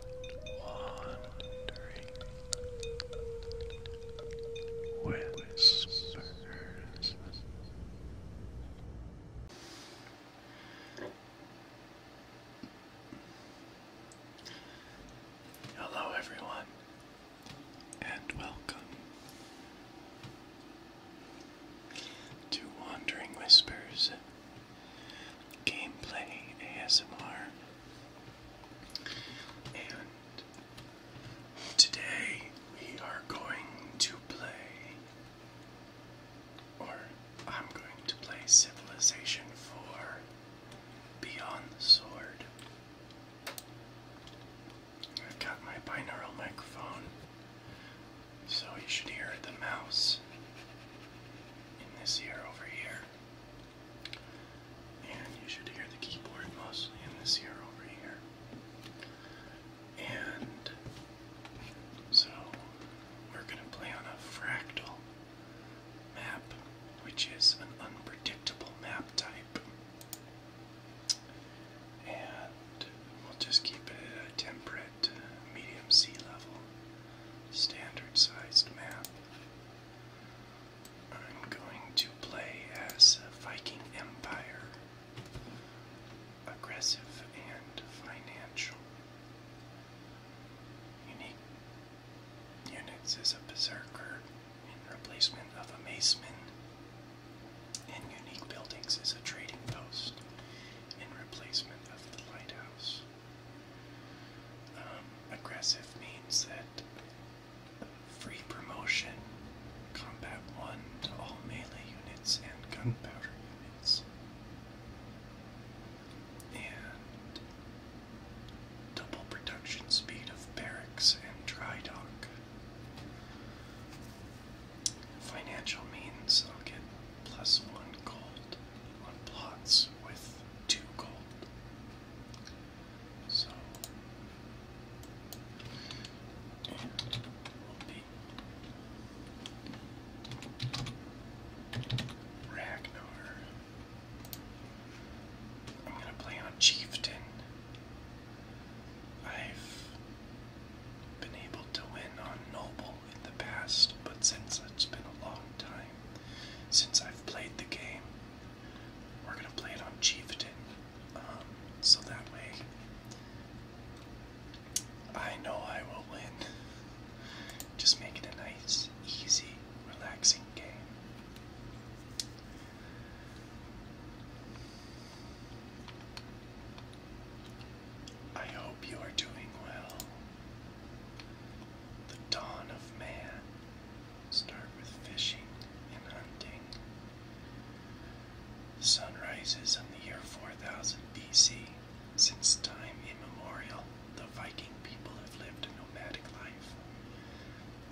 Wandering Whispers. Hello, everyone, and welcome to Wandering Whispers gameplay ASMR. And today we are going to play, or I'm going to play Civilization 4 Beyond the Sword. I've got my binaural microphone so you should hear the mouse in this ear over here. And you should hear the keyboard mostly in this ear over here. And so we're going to play on a fractal map, which is an unpredictable map type. And we'll just keep it at a temperate uh, medium sea level standard sized map. I'm going to play as a Viking Empire. Aggressive and financial. Unique units is a berserker in replacement of a maceman. And unique buildings is a trading post in replacement of the lighthouse. Um, aggressive means that free promotion, combat 1 to all melee units and gunpowder units. And double production speed of barracks and dry dock. Financial means I'll get plus one gold on plots with two gold. So we'll be Ragnar. I'm gonna play on Chieftain. I've been able to win on Noble in the past, but since it's been a long time since I've played the game, we're gonna play it on Chieftain. Um, so that way I know I will win. Just make it a nice, easy, relaxing game. I hope you are doing well. The dawn of man. Start with fishing and hunting. The sun rises in the year 4000 BC. Since time immemorial, the Viking people have lived a nomadic life.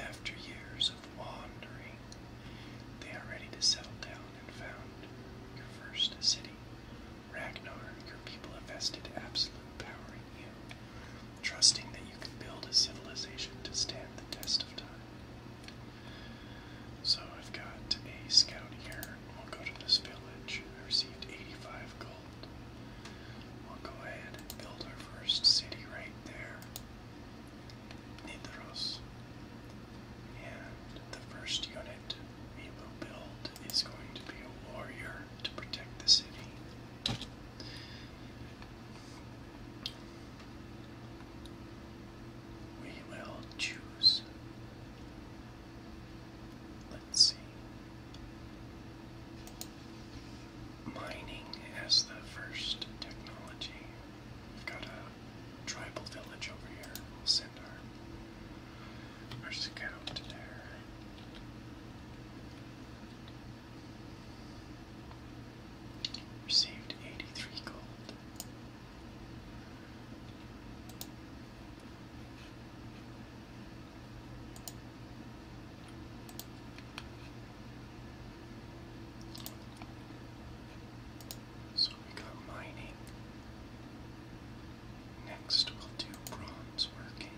After years of wandering, they are ready to settle down and found your first city. Ragnar, your people have vested absolute power in you, trusting that you can build a civilization to stand the test of time. So I've got a scout here. We'll go to this village. I received 85 gold. We'll go ahead and build our first city right there. Nidros. And the first unit we will build is going to be a warrior to protect the city. We will choose. Let's see. Mining as the first technology. We've got a tribal village over here. We'll send our Where's it go to there? Received eighty three gold. So we got mining. Next, we'll do bronze working.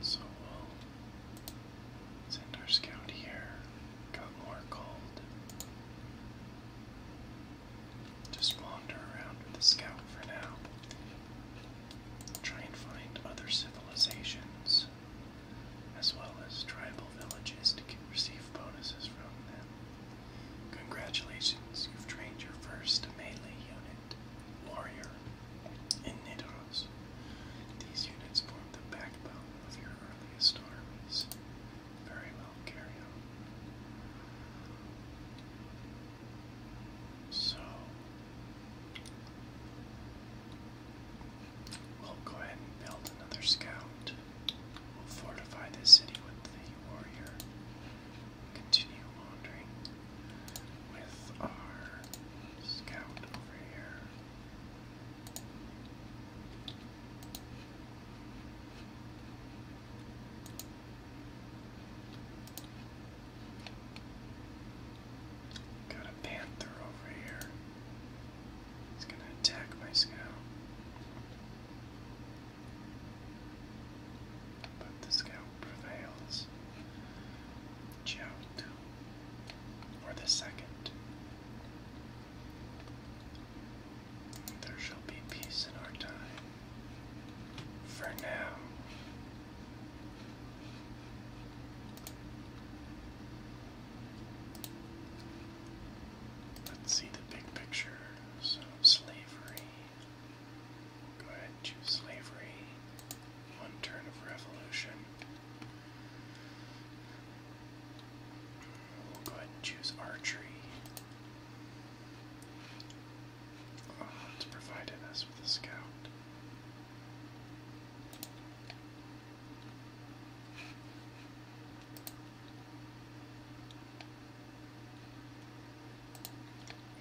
So we'll send our scout here. Got more gold. Just wander around with the scout for now try and find other civilizations as well as tribal villages to receive bonuses from them. Congratulations, you've trained your first melee unit, Warrior, in Nidoros. These units form the backbone of your earliest armies. Very well, carried out. So we'll go ahead and build another scout. We'll fortify this city with the warrior. Continue wandering with our scout over here. Got a panther over here. He's gonna attack my scout. But the scout prevails. Jout. Or the second. There shall be peace in our time. For now, Let's see the big picture. of slavery. Go ahead and choose slavery. One turn of revolution. go ahead choose archery. Oh, it's provided us with a scout.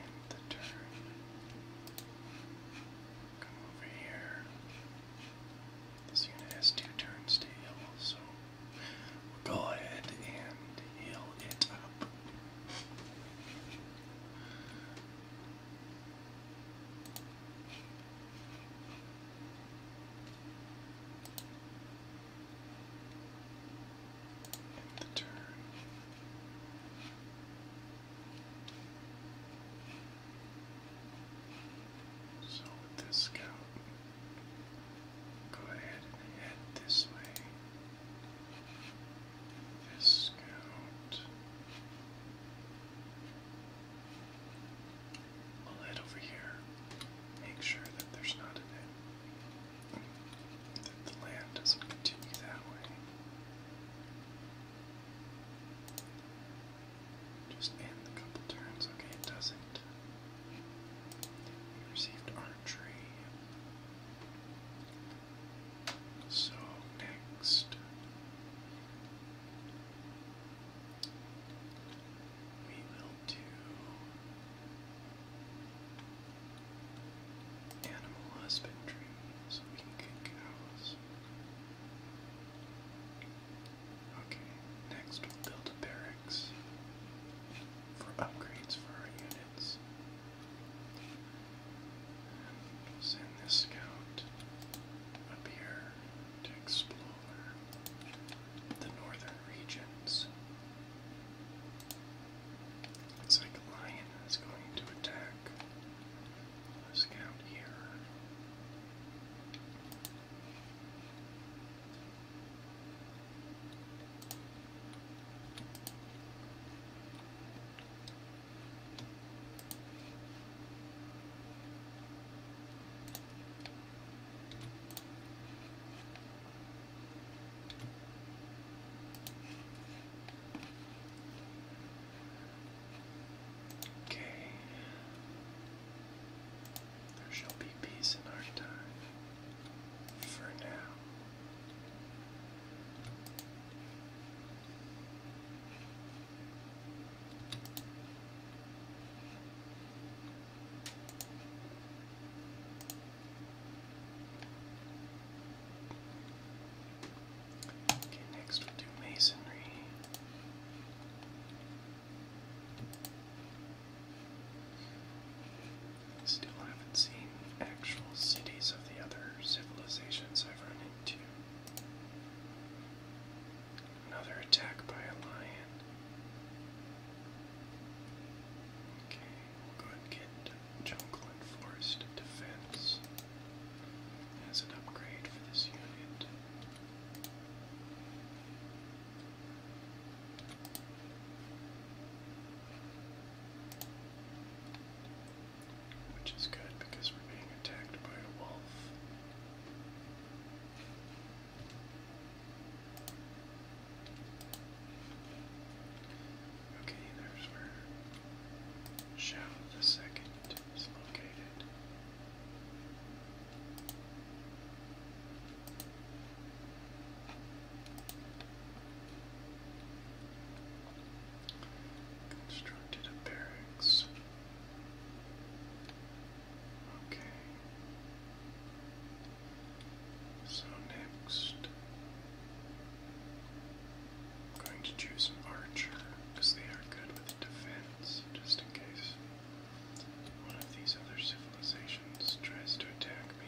End the turn. Come over here. This unit has two turns to heal, so go ahead and heal it up. Make the turn. So with go ahead and head this way. Discount. I'll head over here. Make sure that there's not an That the land doesn't continue that way. Just end a couple turns. Okay, it doesn't. received archery. So next we will do animal husbandry so we can get cows. Okay, next we'll build barracks for upgrades for our units. And send this scout up here to explore the northern regions. Looks like a lion is going to attack scout here. Okay. There shall be peace in our time for now. Okay, next we'll do masonry. Still haven't seen actual cities of the other civilizations I've run into. Another attack by a lion. Okay, we'll go ahead and get jungle and forest defense as an upgrade for this unit. Which is good because we're being attacked by a wolf. Okay, there's where Shao the Second is located. Constructed barracks. Okay. So next, I'm going to choose an archer because they are good with defense, just in case one of these other civilizations tries to attack me.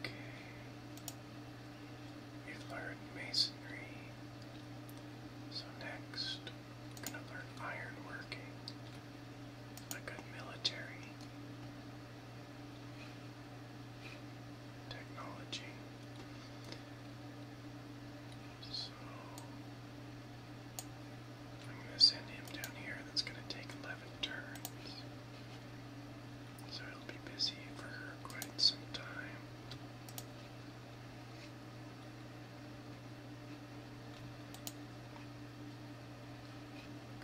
Okay. You have masonry. So next, going to learn ironworking, a good military technology. So I'm going to send him down here. That's going to take 11 turns. So he'll be busy for quite some time.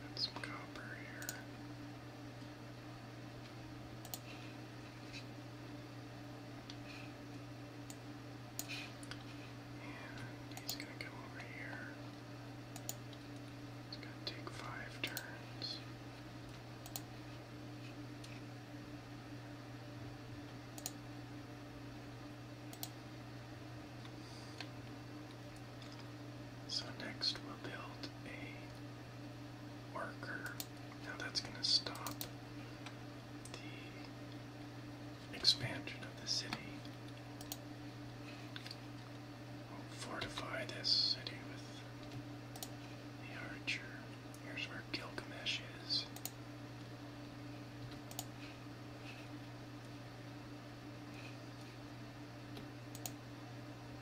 Got some copper here he's going to go over here. It's going to take five turns. So next we'll build a marker. Now that's going to stop the expansion of the city. fortify this city with the archer. Here's where Gilgamesh is.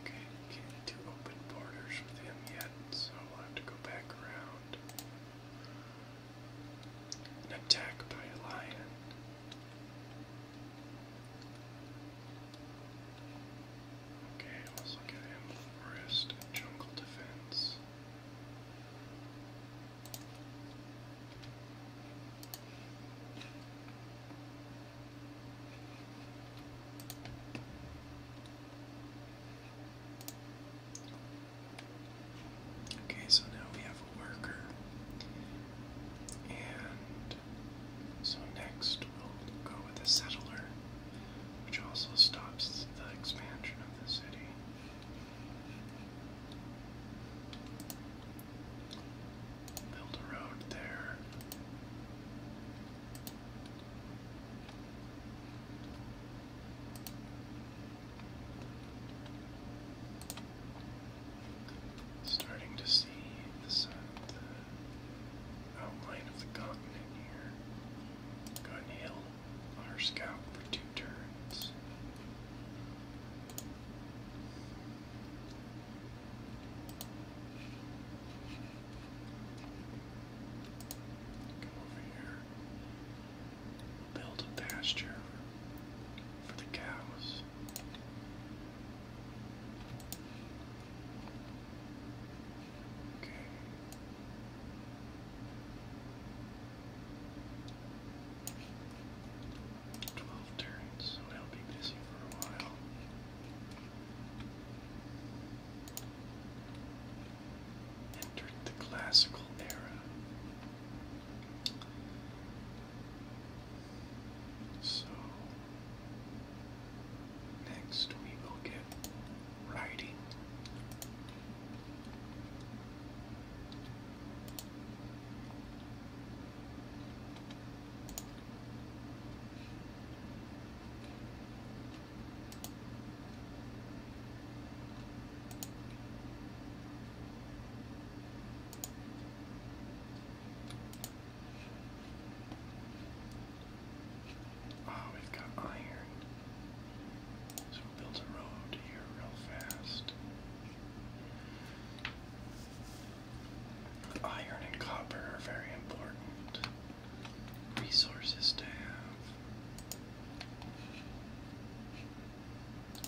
Okay, can't do open borders with him yet, so i have to go back around. An attack by a lion. Okay, let's him. Forest and jungle defense. Okay, so now we have a worker. And so next we'll go with a settler, which also stops the expansion of the city. Build a road there. Starting to see the, outline of the continent here. Go and our scout for two turns. Come over build a pasture for the cows. Twelve turns, so will be busy for a while. Entered the classical era. So next we will get riding. Oh, we've got iron. So build a road here real fast. Iron and copper are very important resources to have.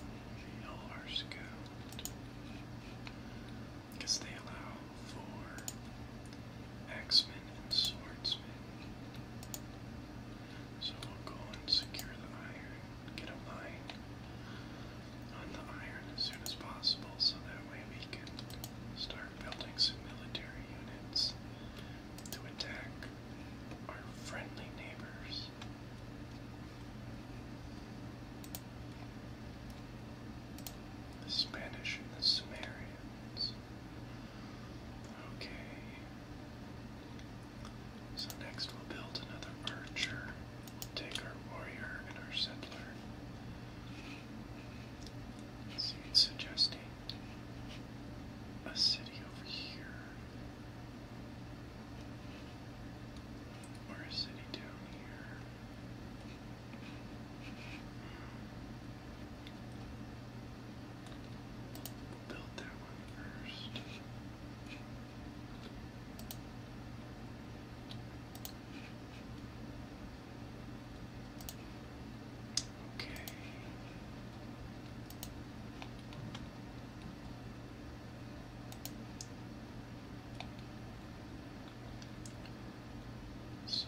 The LR because they allow for axemen and swordsmen. So we'll go and secure the iron get a line on the iron as soon as possible so that way we can start building some military units to attack our friendly neighbors. The Spanish and the Sumerians. Okay. So next we'll build another archer. We'll take our warrior and our settler. see, it's suggesting a city over here. Or a city down here. Hmm. build that one first. Okay. So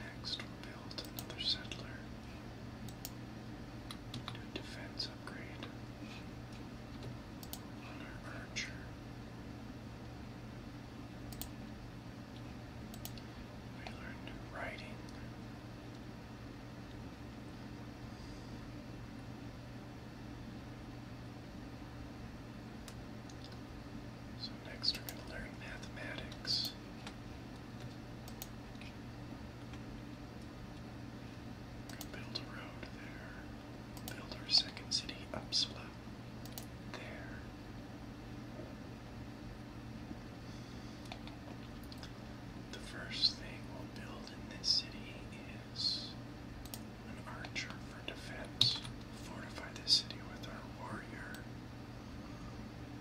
next we'll build another settler defense upgrade on our We learned writing. So next we're going to learn mathematics build a road there. Build our second city, Upsla. There. The first thing we'll build in this city is an archer for defense. Fortify the city with our warrior.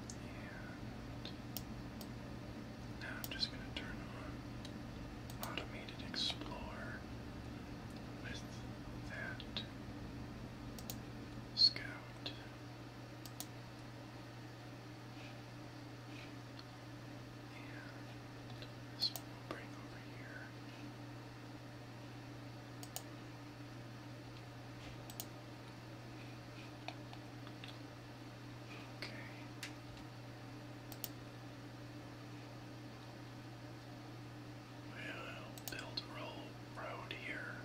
And now I'm just going to turn on Automated explore with that Scout. And this bring over here. Okay. We'll build roll road here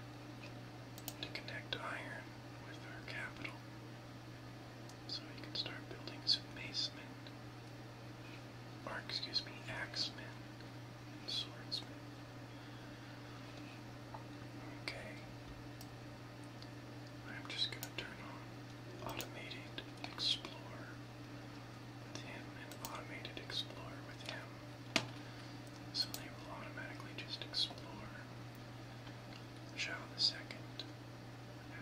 to connect iron with our capital. So we can start building some Or excuse me, axemen and swordsmen. Okay. I'm just going to turn on Automated Explorer with him and Automated Explorer with him. So they will automatically just explore. Shall the second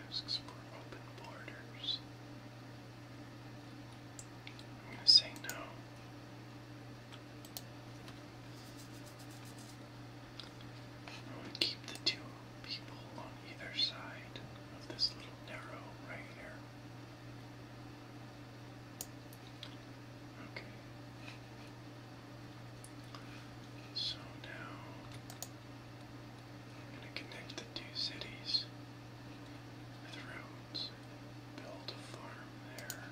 asks for open borders. I'm going to say no. I would keep the two people on either side of this little narrow right here. Okay. So now I'm going to connect the two cities with roads, build a farm there.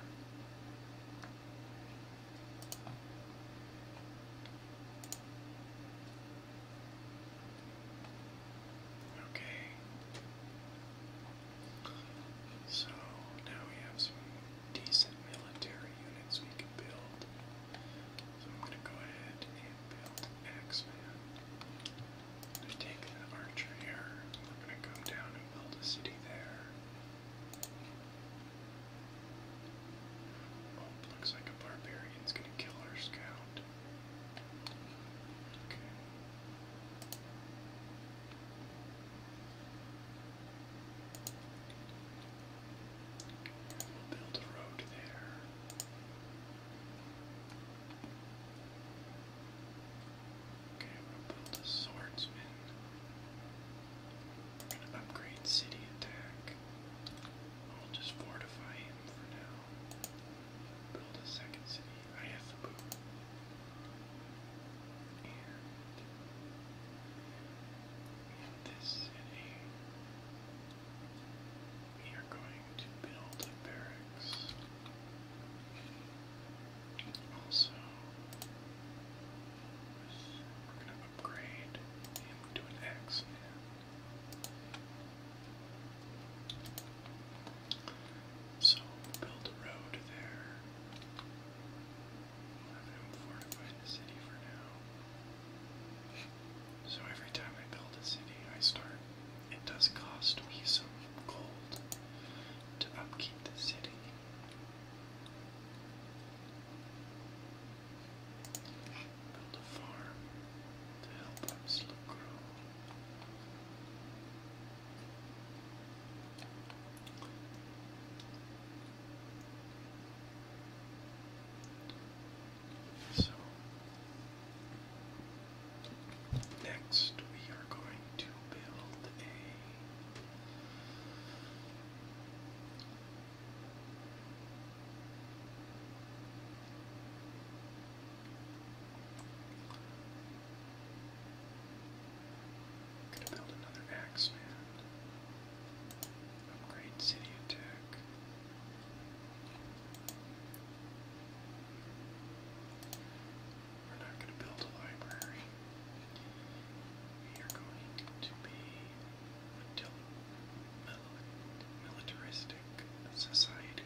Okay. So now we have some decent military units we can build. So I'm going to go ahead and build an X-Man. i take an archer here. We're going to go down and build a city there. Oh, looks like a barbarian's gonna kill our scout. Okay. build a road there. Okay, we'll build a swordsman. Upgrade city attack. I'll just fortify him for now. Build a second city. I have the boot. in this city, we are going to build barracks. Also, we're gonna upgrade him an X So build a road there. We'll have the city for now. So every time I build a city, I start. It does cost me some gold to upkeep the city. Build a farm to help our slow So next we are going to build a Gonna build another axeman. Upgrade city attack. We're not gonna build a library. You're going to be a militaristic society.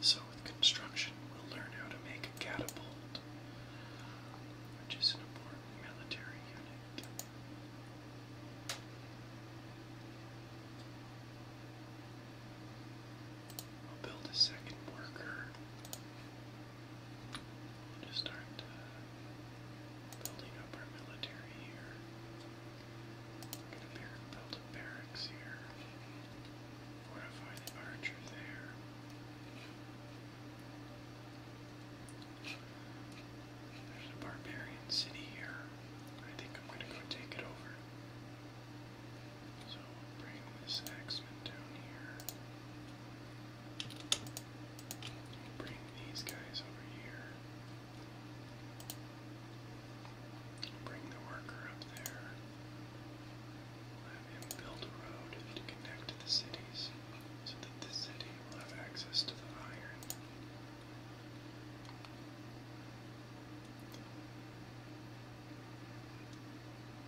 So with construction, we'll learn how to make a catapult, which is an important military unit. We'll build a second worker just start uh, building up our military here. We're gonna build a barracks here. Fortify the archer there. There's a barbarian city here. I think I'm gonna go take it over. So bring this axeman down here. Bring these guys over here. Bring the worker up there. Have him build a road to connect the cities so that the city will have access to the iron.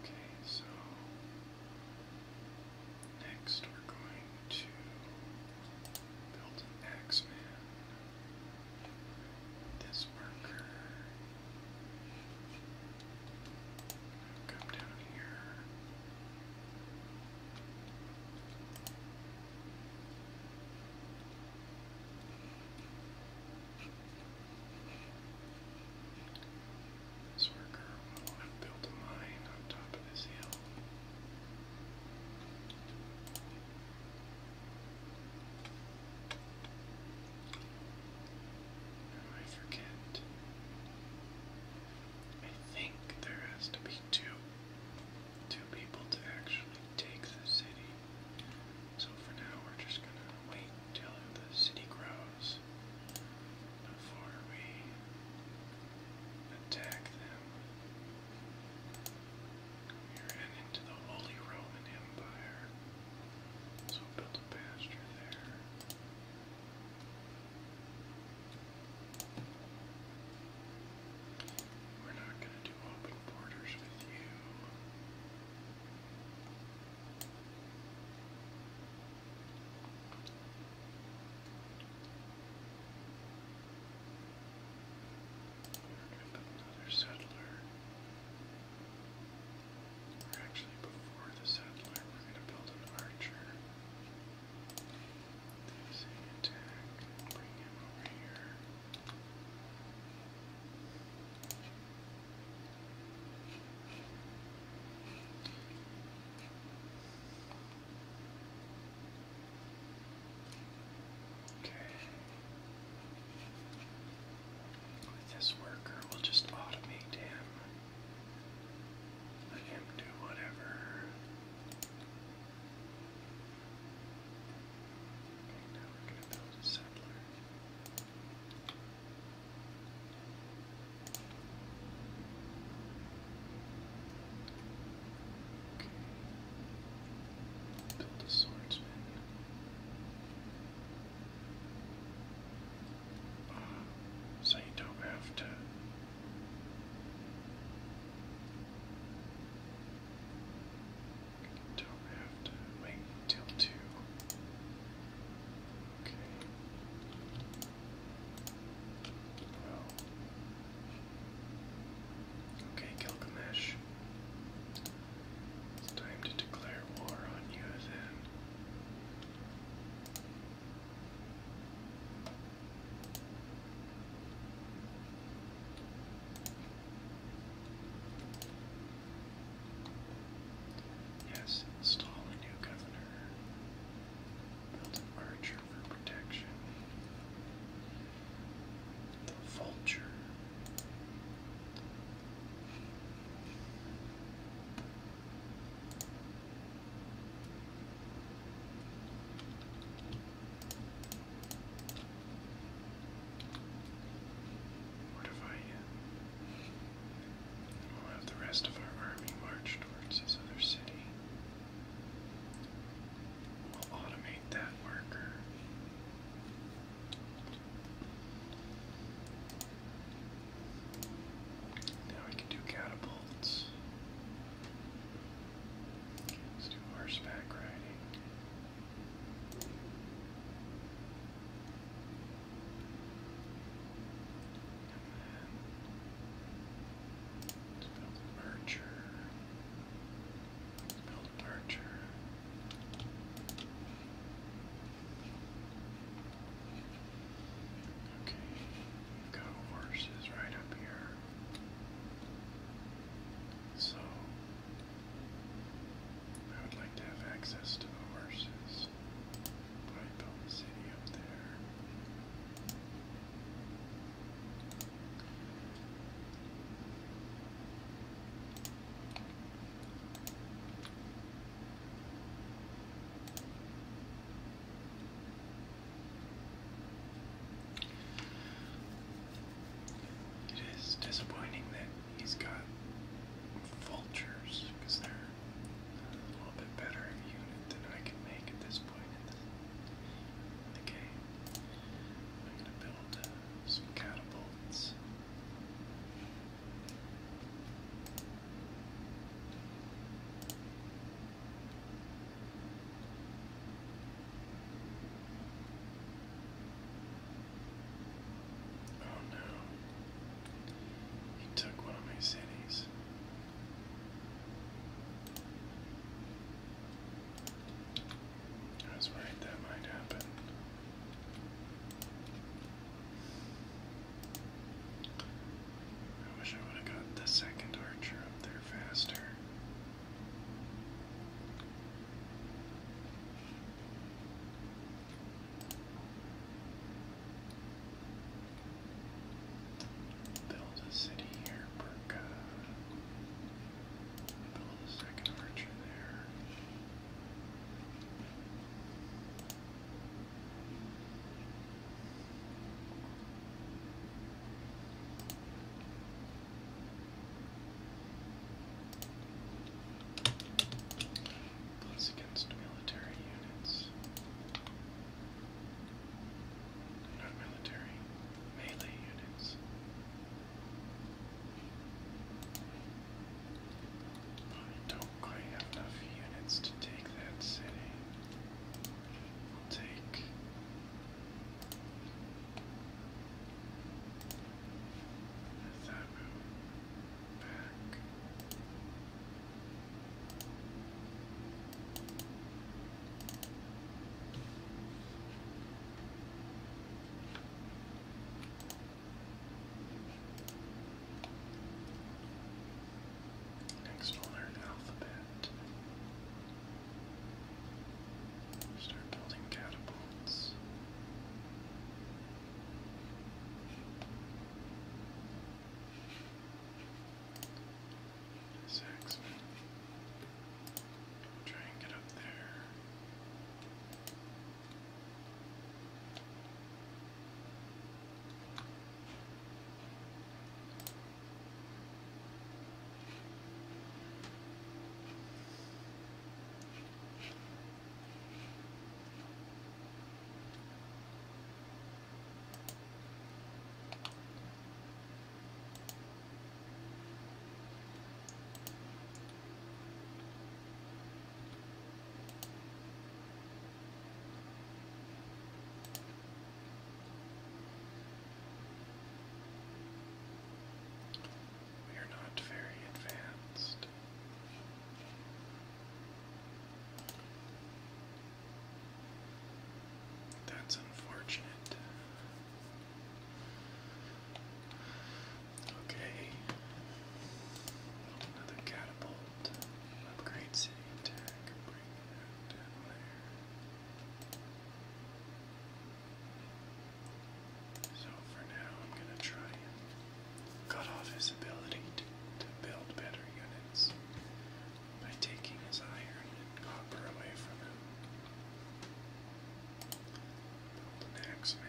Okay, so next we're going to build an X-Man. This worker come down here. This worker will to build a mine on top of this hill. I forget. I think there has to be two two people to actually take the city. So for now we're just gonna wait till the city grows before we attack them. Here and into the Holy Roman Empire. So build a pasture there. We're not going to do open borders with you. Another settler. Or actually, before the settler, we're going to build an archer. There's a attack. Bring him over here. Okay. With this worker, will just automate him. Let him do whatever. Okay, now we're going to build a settler. Okay. Build a swordsman. so you don't have to. don't have to wait until two. Okay. Wow. Okay, Gilgamesh. It's time to declare war on you then. Yes, install a new governor. Build archer for protection. The vulture. What have I? We'll have the rest of our army march towards this other city. We'll automate that worker. Now we can do catapults. let's do horseback riding build a merger. build a merger. Okay, go horses right up here. So I would like to have access to the horses. It is disappointing that he's got vultures because they're a little bit better unit than I can make at this point in I'm going to build uh, some catapults. Oh no. He took one of my cities. I was that might happen. I wish I would have got the second archer up there faster. Build a city here, Build a second archer there plus against military units. Not military, melee units. I don't quite have enough units to take that city. I'll take. Thatmu. Next, we'll learn alphabet. Start building catapults. Six. Try and get up there. We are not very advanced. That's unfortunate. Okay. Another catapult. Upgrade city attack. So for now, I'm going to try cut off his ability to, build better units by taking his iron and copper away from him. Build man.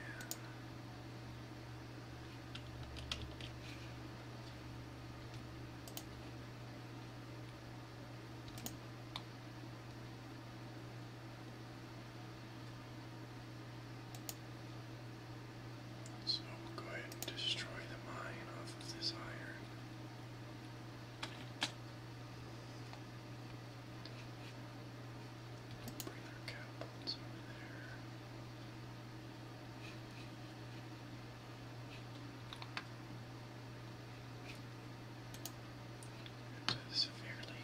So go ahead and destroy the mine off of this iron. Bring our catapults over there. severely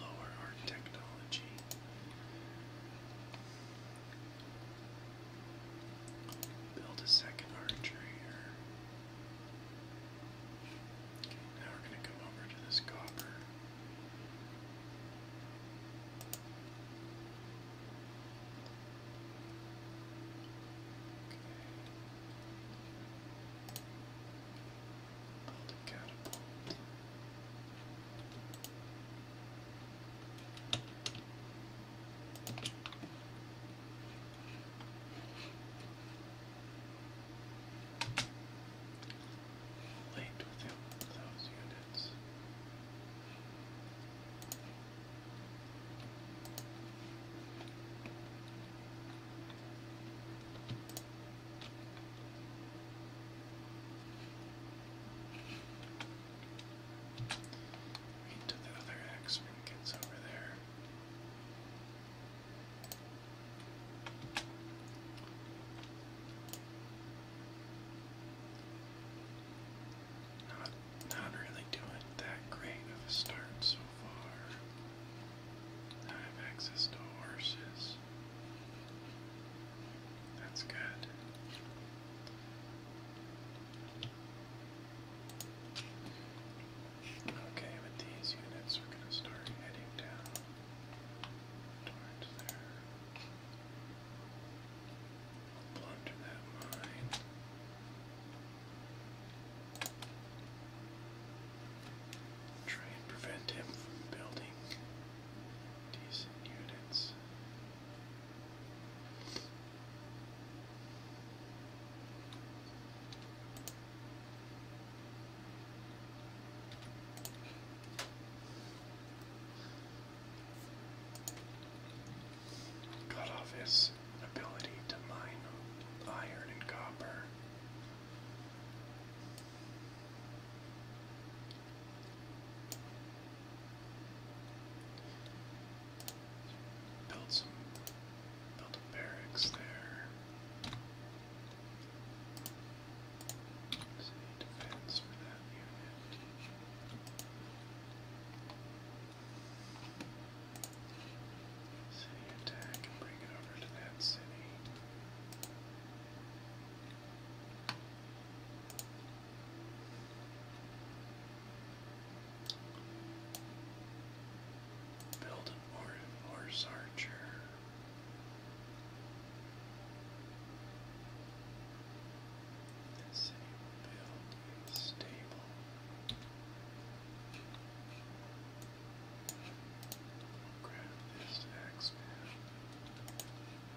lower our technology. Build a second archery. Okay, now we're going to come over to this copper. Okay linked within those units. Into the other X when it over there. Not not really doing that great of a start so far. I have access to horses. That's good. Okay, with these units, we're going to start heading down towards there. we that mine. Try and prevent him from building decent units. Cut off ability to mine iron and copper. Build some, build a barracks there. Let's for that unit. City attack and bring it over to that city. Build an horse archer. This city will stable. I'll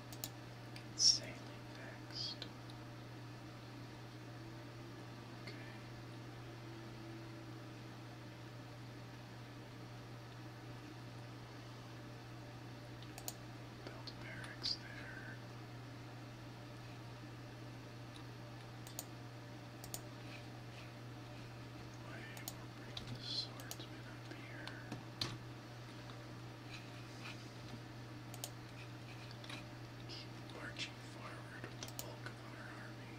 Sailing next. Okay. Build barracks there. Wait, we're the swordsman up here. Keep marching forward with the bulk of our army.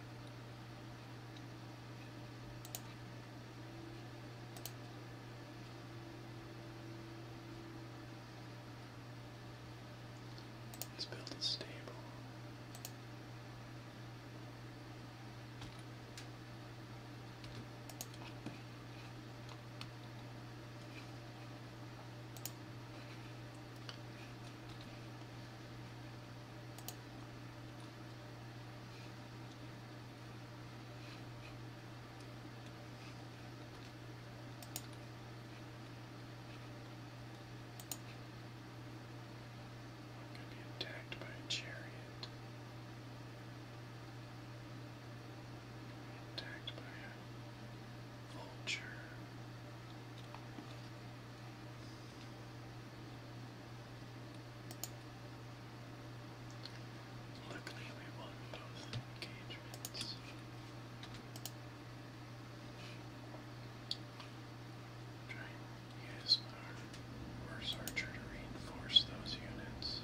Let's build a stable. Could be attacked by a chariot attacked by a vulture. Luckily, we won both engagements. Trying to use my worst to reinforce those units.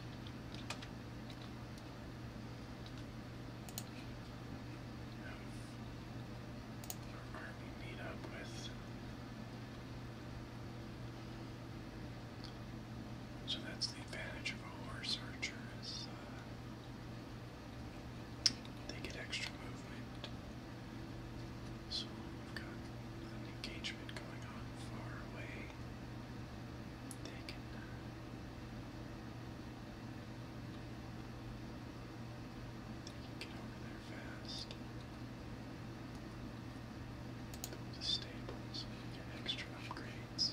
So that's the advantage of a horse archer is uh, they get extra movement. So we've got an engagement going on far away they can uh, they can get over there fast. Go to stables extra upgrades.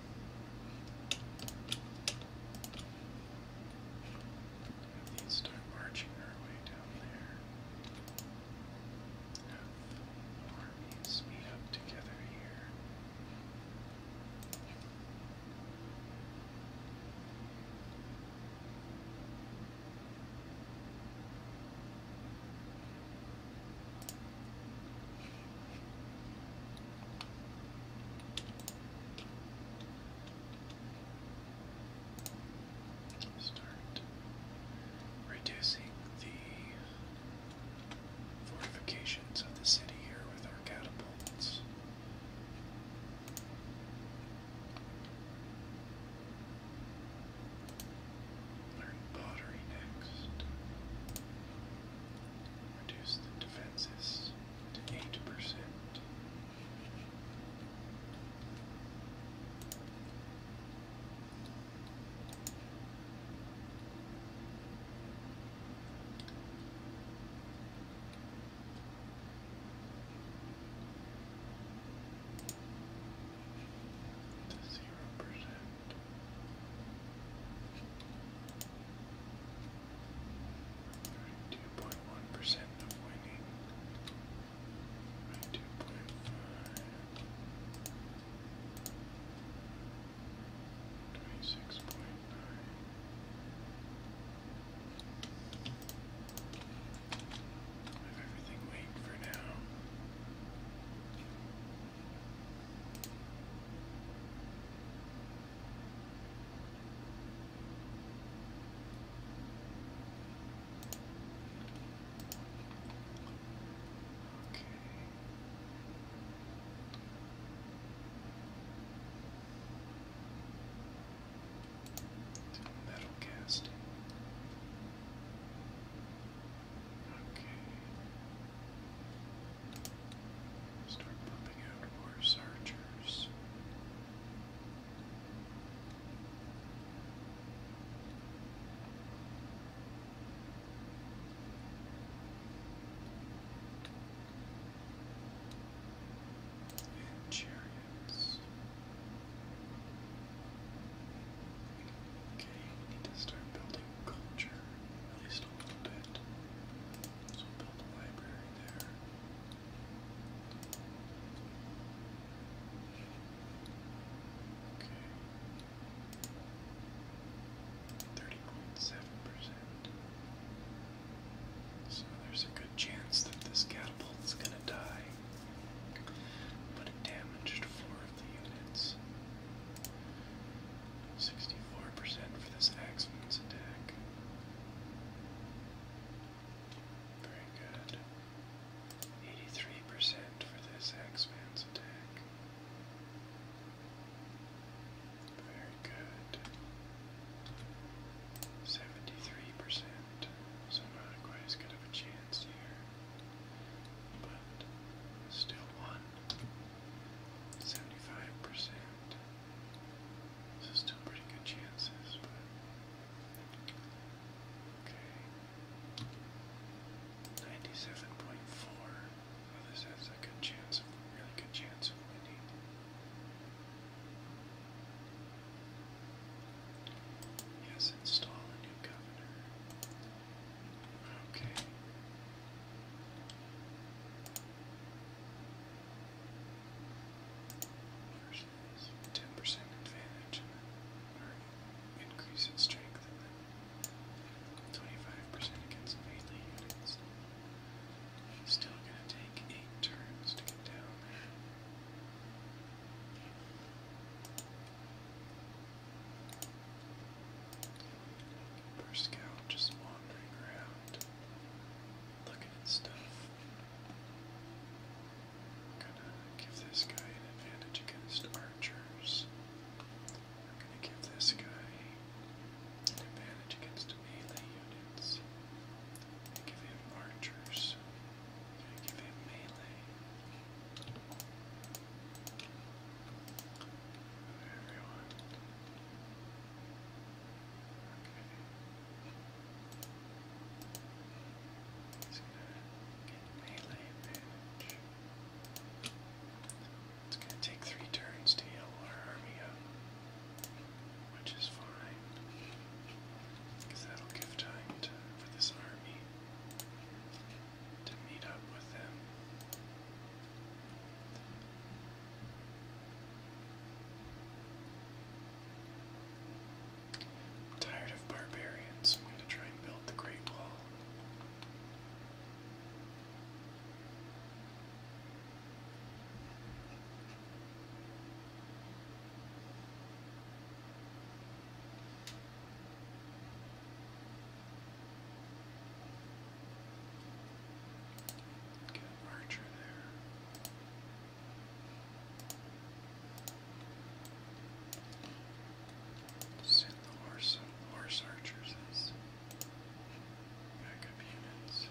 Have these start marching our way down there. Have armies meet up together here. Start reducing the fortifications of the city here with our catapults. Learn pottery next. Reduce defenses eight percent. To zero percent. Two point one percent of winning. Two point five. Twenty-six point nine. Have everything wait for now. Okay. The metal casting. Okay. Start pumping out more searchers. And chariots. Okay, need to start building culture, at least a little bit. So Okay. Thirty point seven percent. So there's a good chance that this catapult is gonna die. But it damaged four of the units. Sixty-four percent for this axeman's attack. Very good. Eighty-three percent for this axeman's attack. Very good. Seventy-three percent. So not quite as good of a chance here. But still one. Seventy-five percent. This is still pretty good chances, but okay. Ninety-seven point four. Well, oh, this has a good chance, of, really good chance of winning. Yes, install a new governor. Okay. 10% advantage or increase strength and 25% against melee units. Still gonna take 8 turns to get down First scout just wandering around looking at stuff. I'm gonna give this guy an advantage against archers. I'm gonna give this guy an advantage against melee units. I'm gonna give him archers. i give him melee. Everyone. It's gonna take three turns to heal our army up, which is fine, that'll give time for this army to meet up with them. I'm tired of barbarians. I'm going to try and build the Great Wall. Get an archer there. Send the horse horse archers backup units.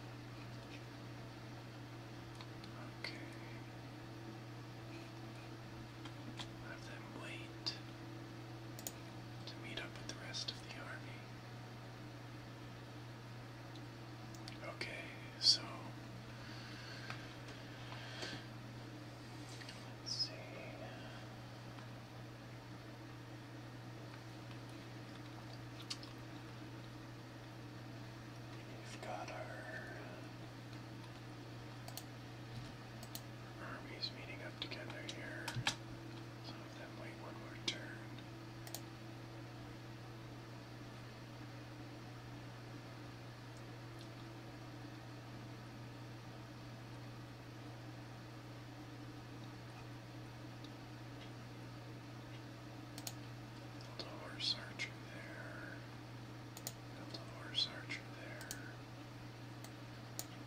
Okay. Have them wait to meet up with the rest of the army. Okay, so let's see. We've got our armies meeting up together here. Some of them one more turn. Build a horse there. Build a horse archer there.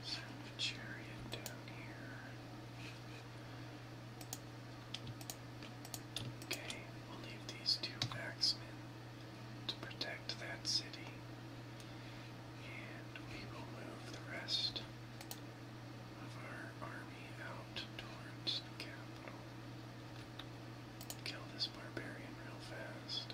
Send the chariot down here. Okay, we'll leave these two axemen to protect that city, and we will move the rest of our army out towards the capital. Kill this barbarian real fast.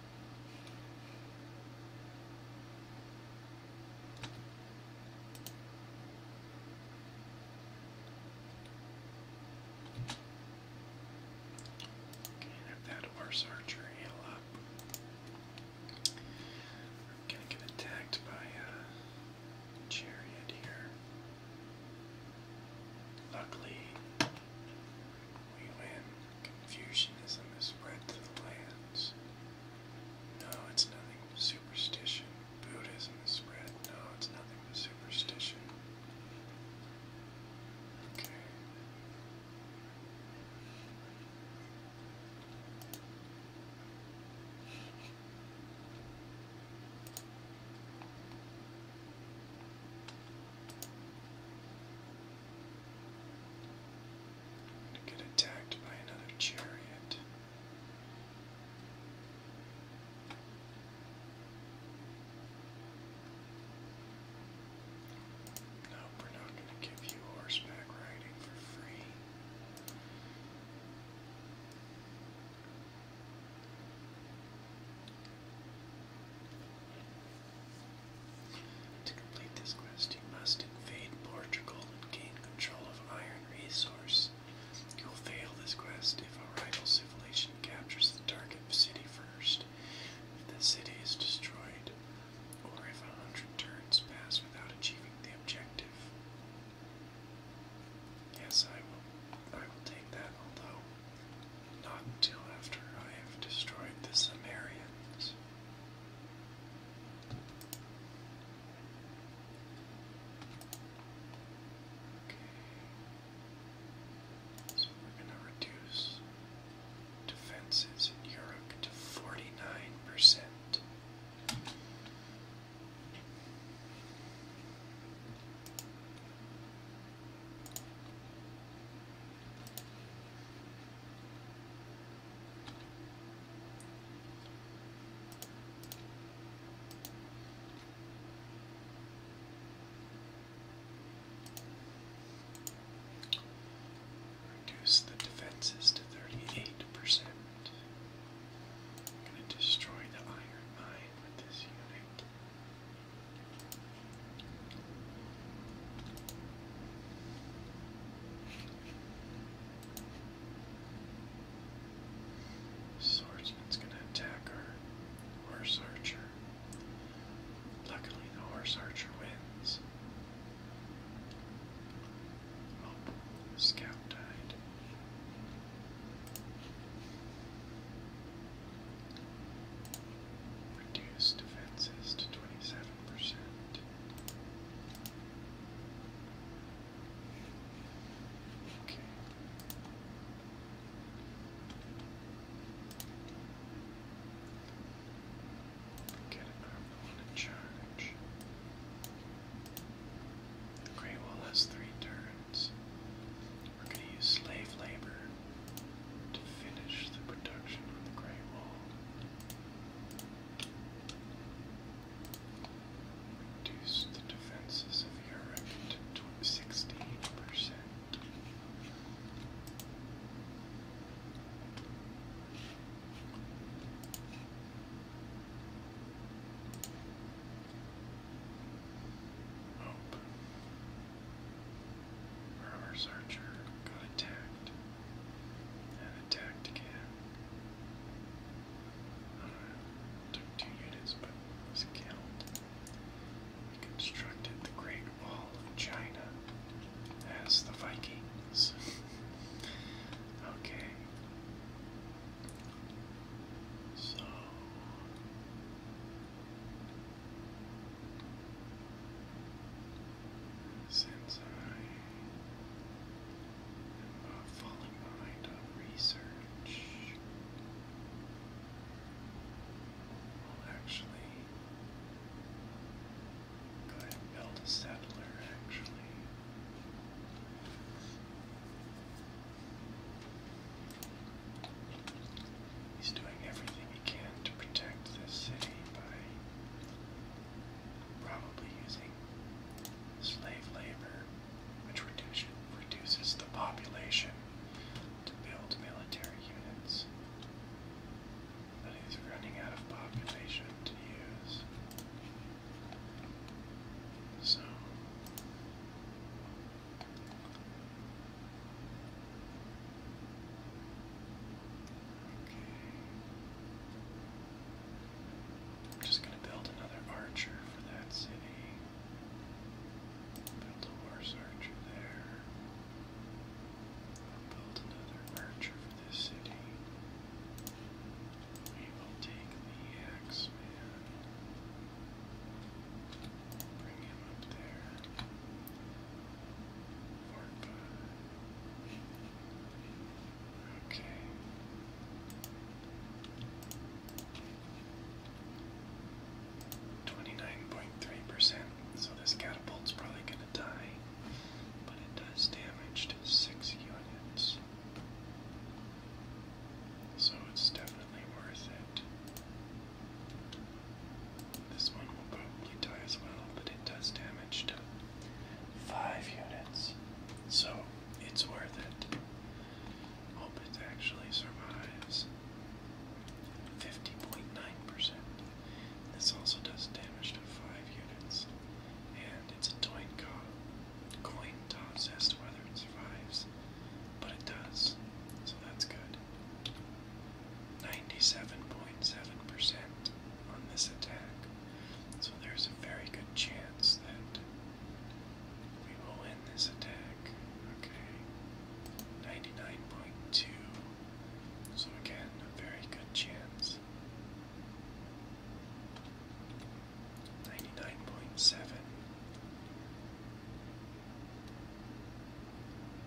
that horse archer heal up. gonna get attacked by uh, a chariot here. Luckily, we win. Confucianism has spread to the lands. No, it's nothing but superstition. Buddhism has spread. No, it's nothing but superstition. Okay. To get attacked by another chariot. Nope, we're not going to give you horseback riding for free. To complete this quest, you must invade Portugal and gain control of iron resource. You will fail this quest if a rival civilization captures the target city first, if the city is destroyed, or if a hundred turns pass without achieving the objective. Yes, I will. I will take that, although not until after I have destroyed the Sumerians. So we're going to reduce defenses in Europe to 49%. Reduce the defenses to 38%. I'm going to destroy the iron mine with this unit. Swordsman's gonna attack her horse archer. Luckily, the horse archer wins. Oh, scout died. Reduce defenses to 27 percent. Okay. Get a normal one in charge. The Great Wall has three turns. We're going to use slave labor to finish the production on the Great Wall. Reduce the defenses of Europe to 16%. Hope. Murmur's archer got attacked again. took two units, but was killed. He constructed the Great Wall of China as the Vikings. okay. So. Since I am uh, falling research, I'll actually go and build a settler, actually. He's doing everything he can to protect the city by probably using slave labor, which reduce, reduces the population to build military units. But he's running out of population to use. So just going to build another archer for that city. Build a horse archer there. build another archer for this city. We will take the Axeman. Bring him up there. Okay. Twenty-nine point three percent. So this catapult's probably gonna die, but it does damage to six units. So it's definitely worth it. This one will probably die as well, but it does damage to five units. So it's worth it. Hope it actually survives. 50.9%. This also does damage to five units. And it's a coin, coin toss as to whether it survives. But it does. So that's good. 97.7% on this attack. So there's a very good chance that we will win this attack. Okay. 99.2. So again, a very good chance. 99.7.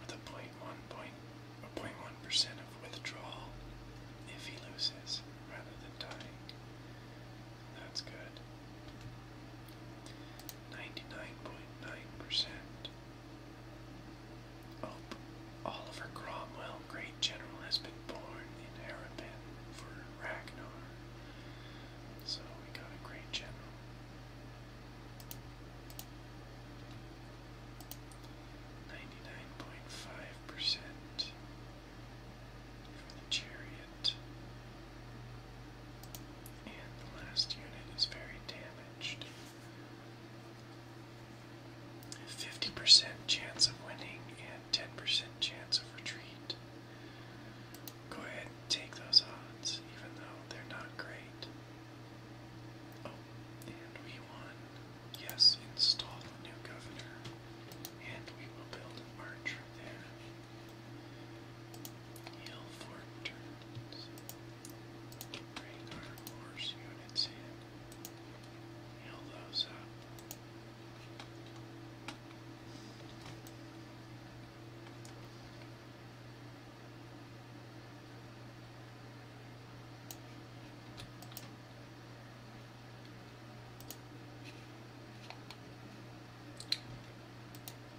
with a one point a point one percent of withdrawal if he loses rather than tying. That's good. 99.9%. Oh, Oliver Cromwell, great general, has been born in Harapan for Ragnar. So we got a great general. Ninety-nine point five percent for the chariot. And the last unit is very damaged. Fifty percent chance of winning and ten percent chance of retreat. Go ahead take those odds, even though they're not great. Oh, and we won. Yes, install a new governor. And we will build an arch there. Heal turns. Bring our horse units in. Heal those up.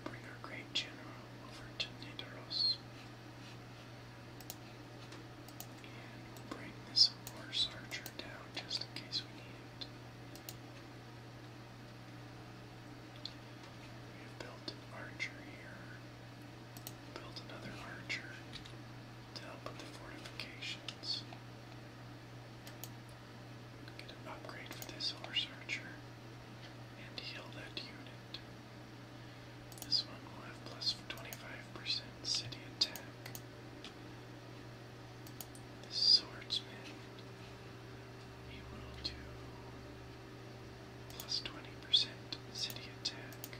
Bring our great general over to Nidaros. And bring this horse archer down just in case we need it. We have built an archer here. Build another archer to help with the fortifications. Get an upgrade for this horse archer and heal that unit. This one will have 25% city attack. The swordsman, he will do Plus 20% city attack.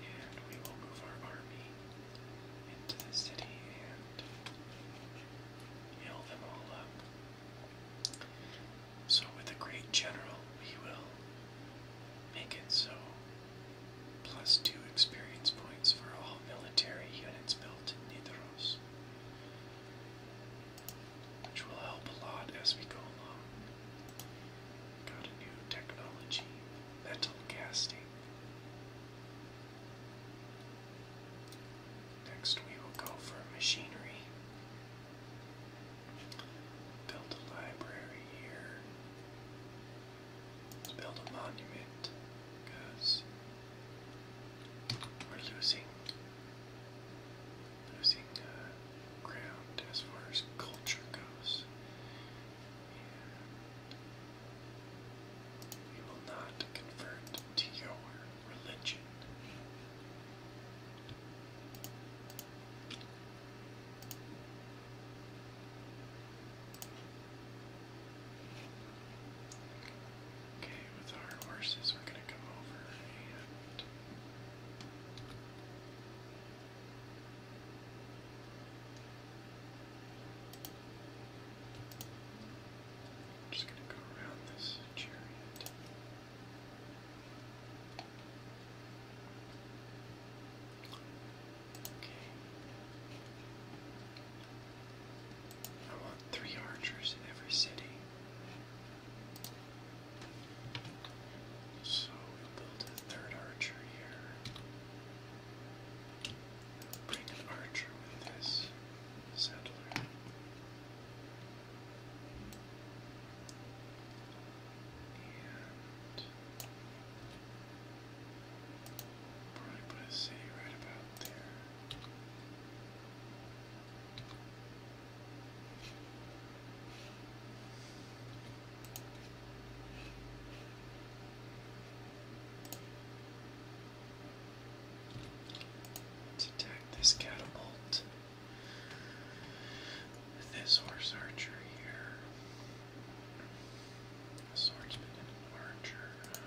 And we will move our army into the city and heal them all up. So, with a great general, we will make it so plus two experience points for all military units built in Nidros, which will help a lot as we go along. Got a new technology, metal casting. Next, we will go for machinery. Build a library here. Let's build a monument we're losing losing uh, ground as far as culture goes. we will not convert to your religion. Okay, with our horses, we're going to come over and just going to go around this chariot. I want three archers in every city. So we'll build a third archer here. bring an archer with this settler. And Probably put a right about there. let this catapult. with This horse archer here. swordsman and archer.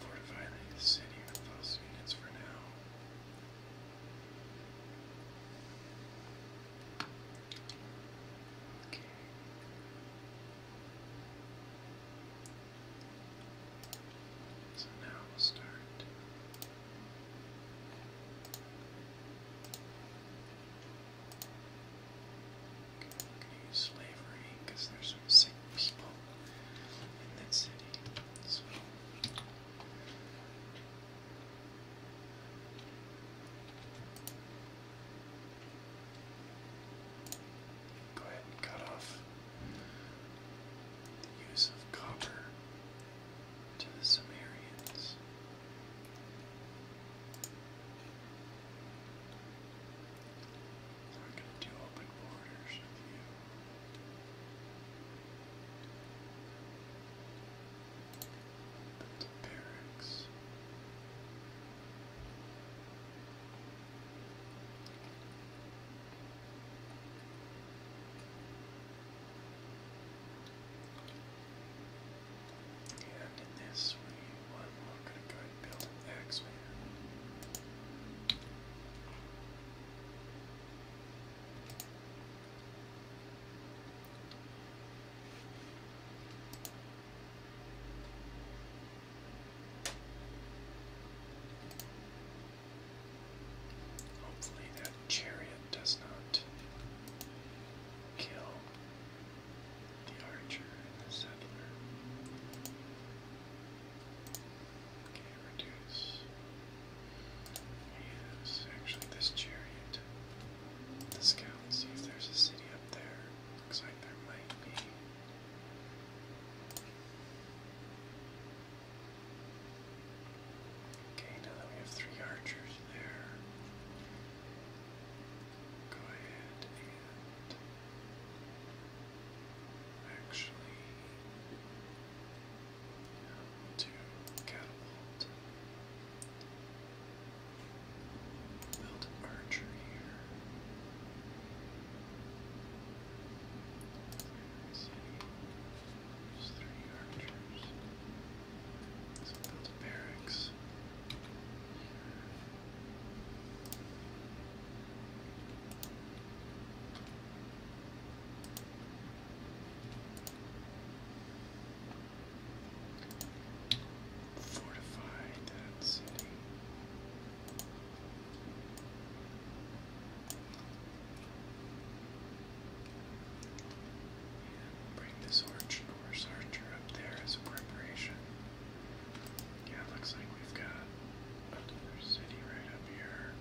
Fortify the city with those units for now. Okay. So now we'll start okay, slavery, because there's some sick people in that city. go ahead and cut off the use of copper to the Sumerians. We're going to do open borders with you. the barracks. And in this we one we're going Hopefully that chariot does not kill the archer and the settler. Okay, reduce. Yes, actually this chariot. Let's see if there's a city up there. Looks like there might be. Okay, now that we have three archers there, go ahead and Actually, to catapult. Build an archer here. There's three archers. So build barracks. Fortify that city. bring this arch archer up there as a preparation. Yeah, looks like we've got another city right up here.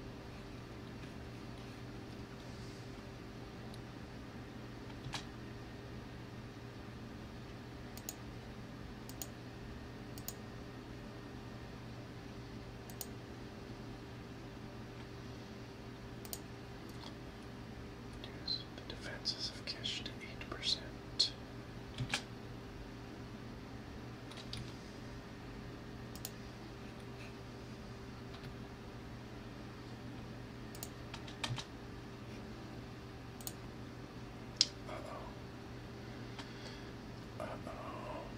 the defenses have cashed eight percent. Uh-oh. Uh-oh.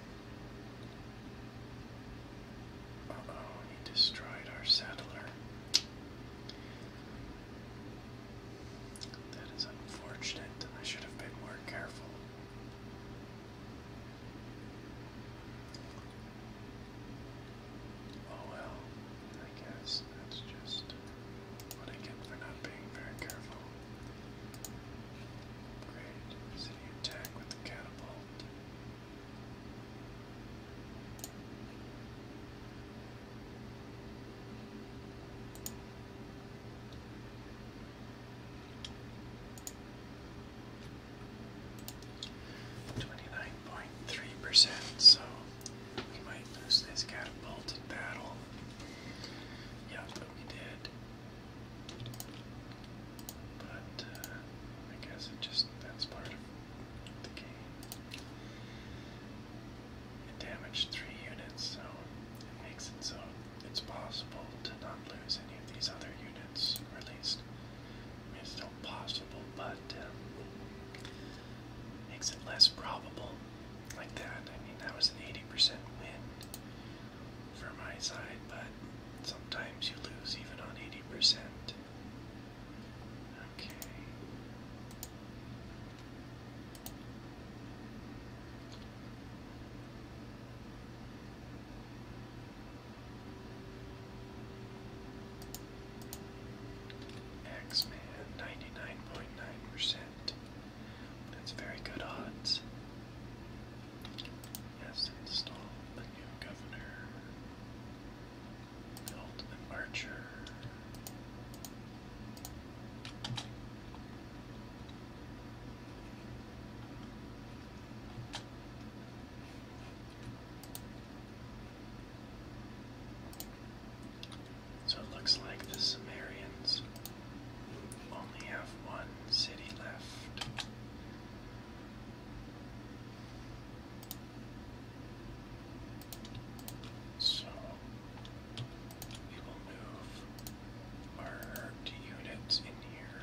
Uh-oh, he destroyed our settler. That is unfortunate. I should have been more careful. Oh well, I guess that's just what I get for not being very careful. Great, city attack with catapult. 29.3%, so we might lose this catapult in battle. Yeah, but we did. But uh, I guess it just that's part of the game. It damaged three units, so it makes it so it's possible to not lose any of these other units, at least it's still possible, but um, makes it less probable like that. I mean, that was an 80% win for my side, but sometimes you lose even on 80%. Okay. X-Man, 99.9%. That's very good odds. Yes, install the new governor. The archer. So it looks like the Sumerians only have one city left. So we will move our units in here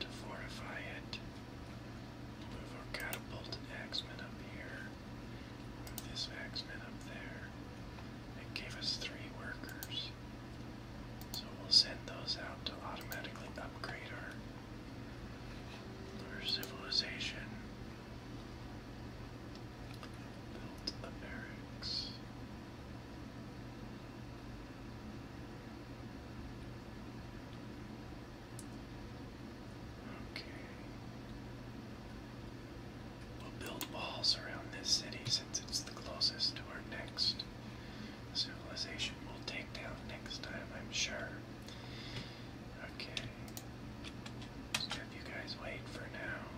to fortify it. Move our catapult and up here. Move this axeman up there. It gave us three workers. So we'll send those out to automatically upgrade our, our civilization. Built barracks. Okay. We'll build walls around this city since it's the closest to our next civilization we'll take down next time, I'm sure. Okay. Just have you guys wait for now.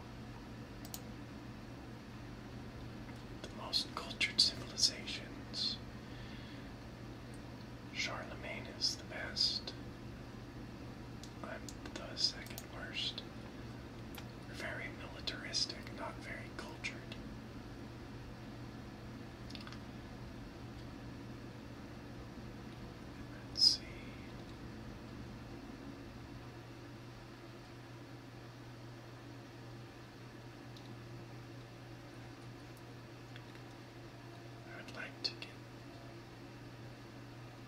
The most cultured civilizations. Charlemagne is the best. I'm the second worst. very militaristic, not very cultured. Let's see. I would like to get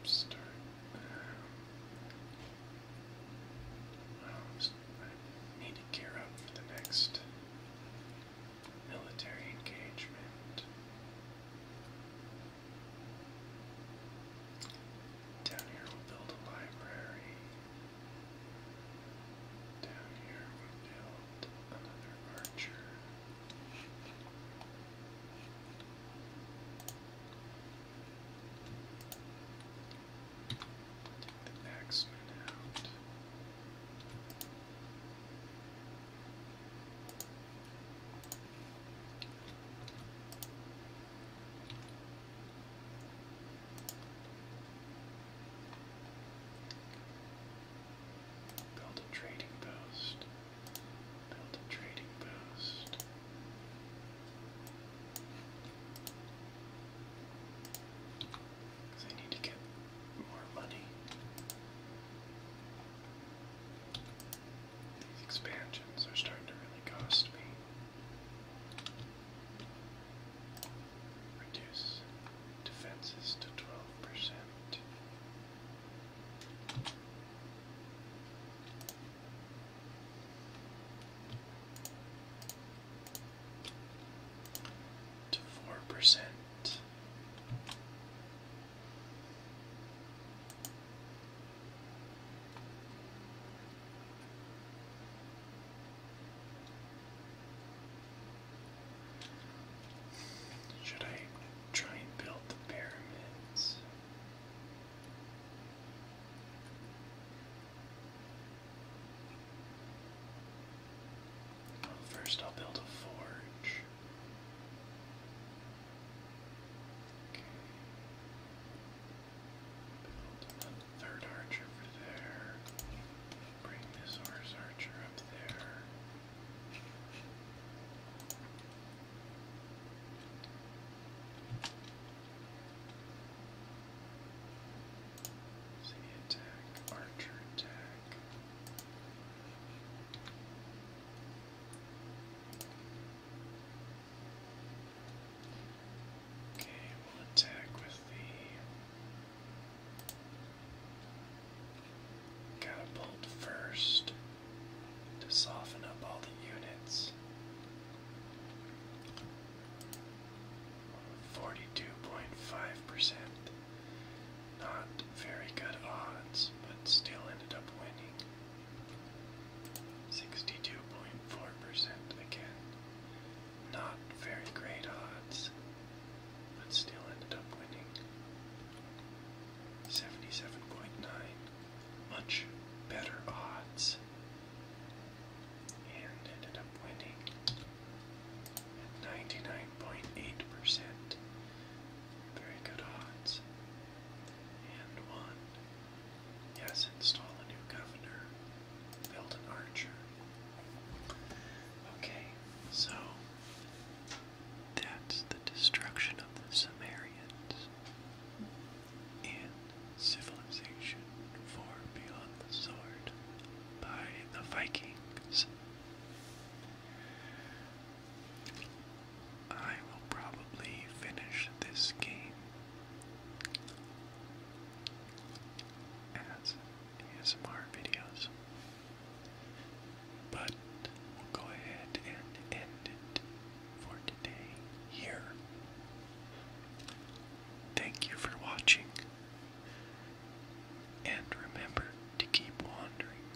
start. Um, well, I need to gear up for the next military engagement. Down here we'll build a library. Down here we'll build another archer. Take the axeman out. Build a trading post. Build a trading post. Because I need to get more money. These expansions are starting to really cost me. Reduce defenses to 12%. To 4%. Should I try and build the pyramids? first, I'll build a forge. Build a third arch over there. Bring this horse archer up there. See attack, archer attack. Okay, we'll attack with the catapult first to soften up all the units. 42.5%. Not very good odds, but still ended up winning. 62.4% again. Not very great odds, but still ended up winning. 77.9, much better odds, and ended up winning at 99.8%. Very good odds. And one. Yes, install a new governor. Build an archer. Okay, so that's the destruction of the Sumerians in Civilization 4 Beyond the Sword by the Vikings. I will probably finish this game as ASMR videos, but we'll go ahead and end it for today here. Thank you for watching, and remember to keep wandering.